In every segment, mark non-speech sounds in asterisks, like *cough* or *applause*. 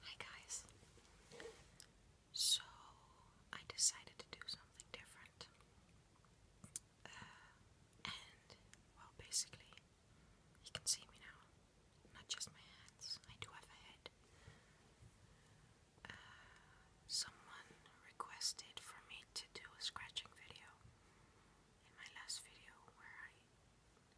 Hi guys. So I decided to do something different. Uh, and well basically you can see me now. Not just my hands. I do have a head. Uh, someone requested for me to do a scratching video in my last video where I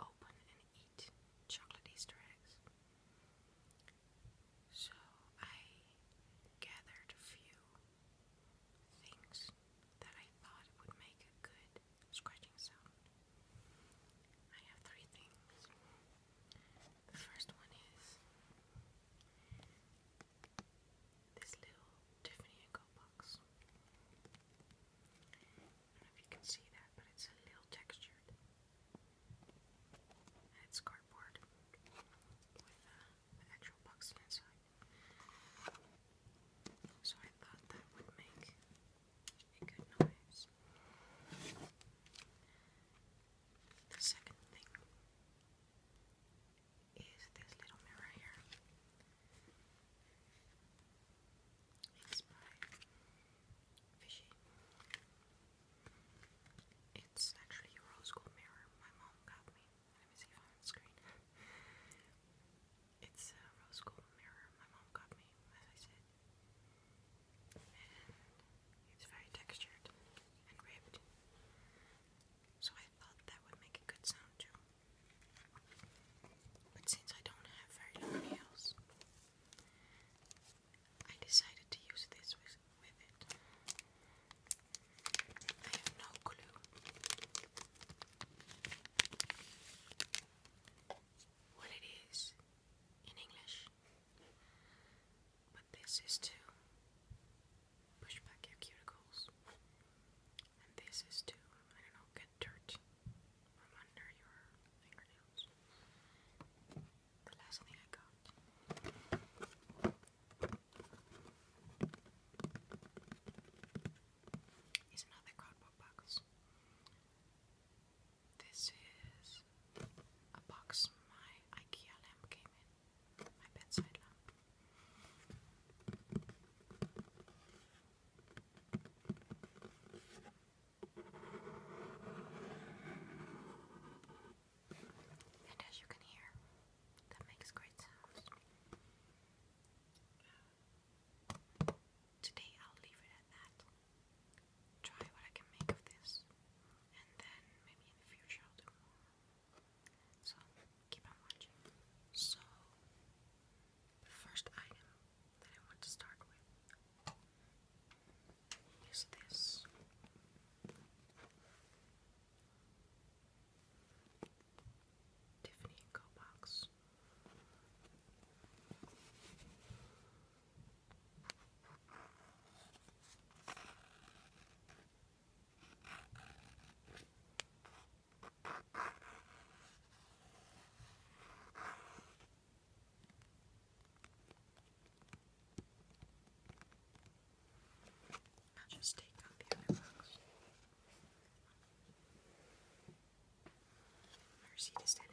open and eat chocolate Easter eggs. So I gathered a few things that I thought would make a good scratching sound. I have three things. The first one is this little Tiffany & box. if you can see that, but it's a little textured. it's cardboard with uh, actual box inside. So I thought that would make a good noise. The second thing is this little mirror here. It's by Fishy. It's actually a rose gold mirror my mom got me. Let me see if I'm on screen. it's a rose gold mirror my mom got me, as I said. it's very textured and ribbed. So I thought that would make a good sound too. But since I don't have very long nails, I decided to use this with, it. I have no clue what it is in English, but this is to push back your cuticles. And this is to, I don't know, get dirt from under your fingernails. The last thing I got. Is another cardboard box. This is a box my IKEA lamp came in my bedside lamp. And as you can hear, that makes great sounds. Today I'll leave it at that. Try what I can make of this, and then maybe in the future I'll do more. So, keep on watching. So, the first item that I want to start with is this. Tiffany & box. I'll just take out the other box. Our seat is in it.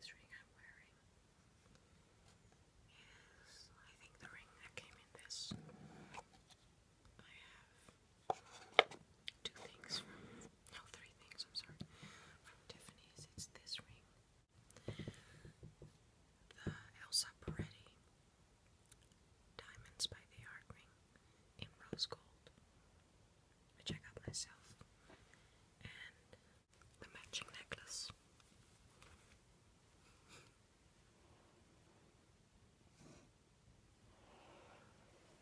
This ring I'm wearing is, I think, the ring that came in this. I have two things from, no, three things, I'm sorry, from Tiffany's. It's this ring, the Elsa Peretti Diamonds by the Art ring in rose gold which I got myself, and the matching necklace.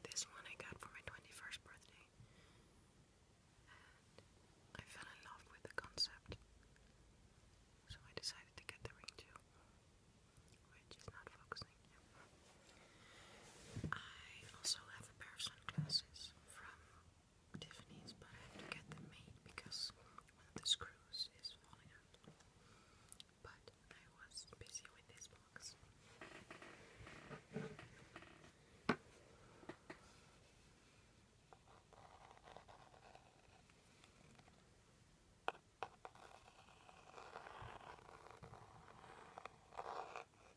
This one I got for my 21st birthday, I fell in love with the concept, so I decided to get the ring too, which is not focusing. I also have a pair of sunglasses from Tiffany's, but I have to get them made because one of the screws is falling out. But I was busy with this box.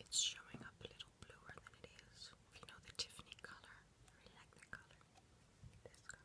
It's showing up a little bluer than it is. If You know the Tiffany color. I really like that color. This color.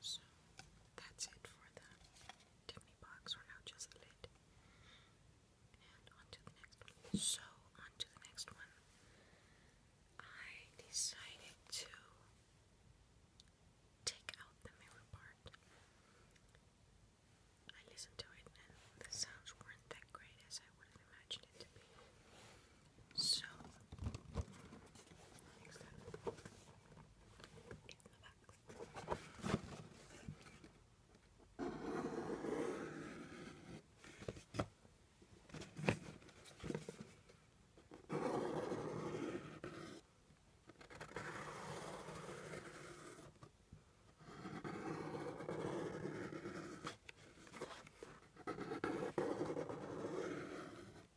So that's it for the Tiffany box. We're now just lit. And on the next one. So on the next one. I decided to take out the mirror part. I listened to it and the sounds weren't that great as I would have imagined it to be. So, next up, in the box.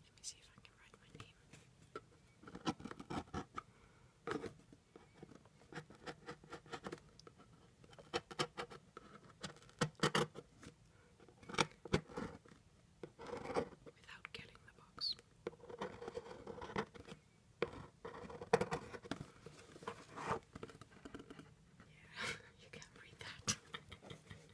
Let me see if I can write my name. Without getting the box. Yeah, *laughs* you can't read that. *laughs*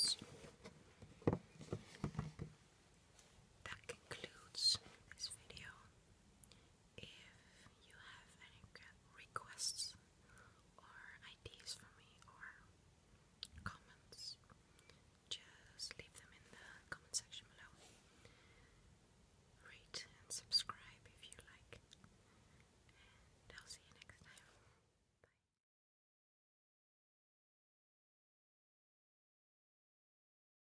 So, that concludes this video if you have any requests or ideas for me or comments, just leave them in the comment section below. Rate and subscribe if you like, and I'll see you next time. Bye.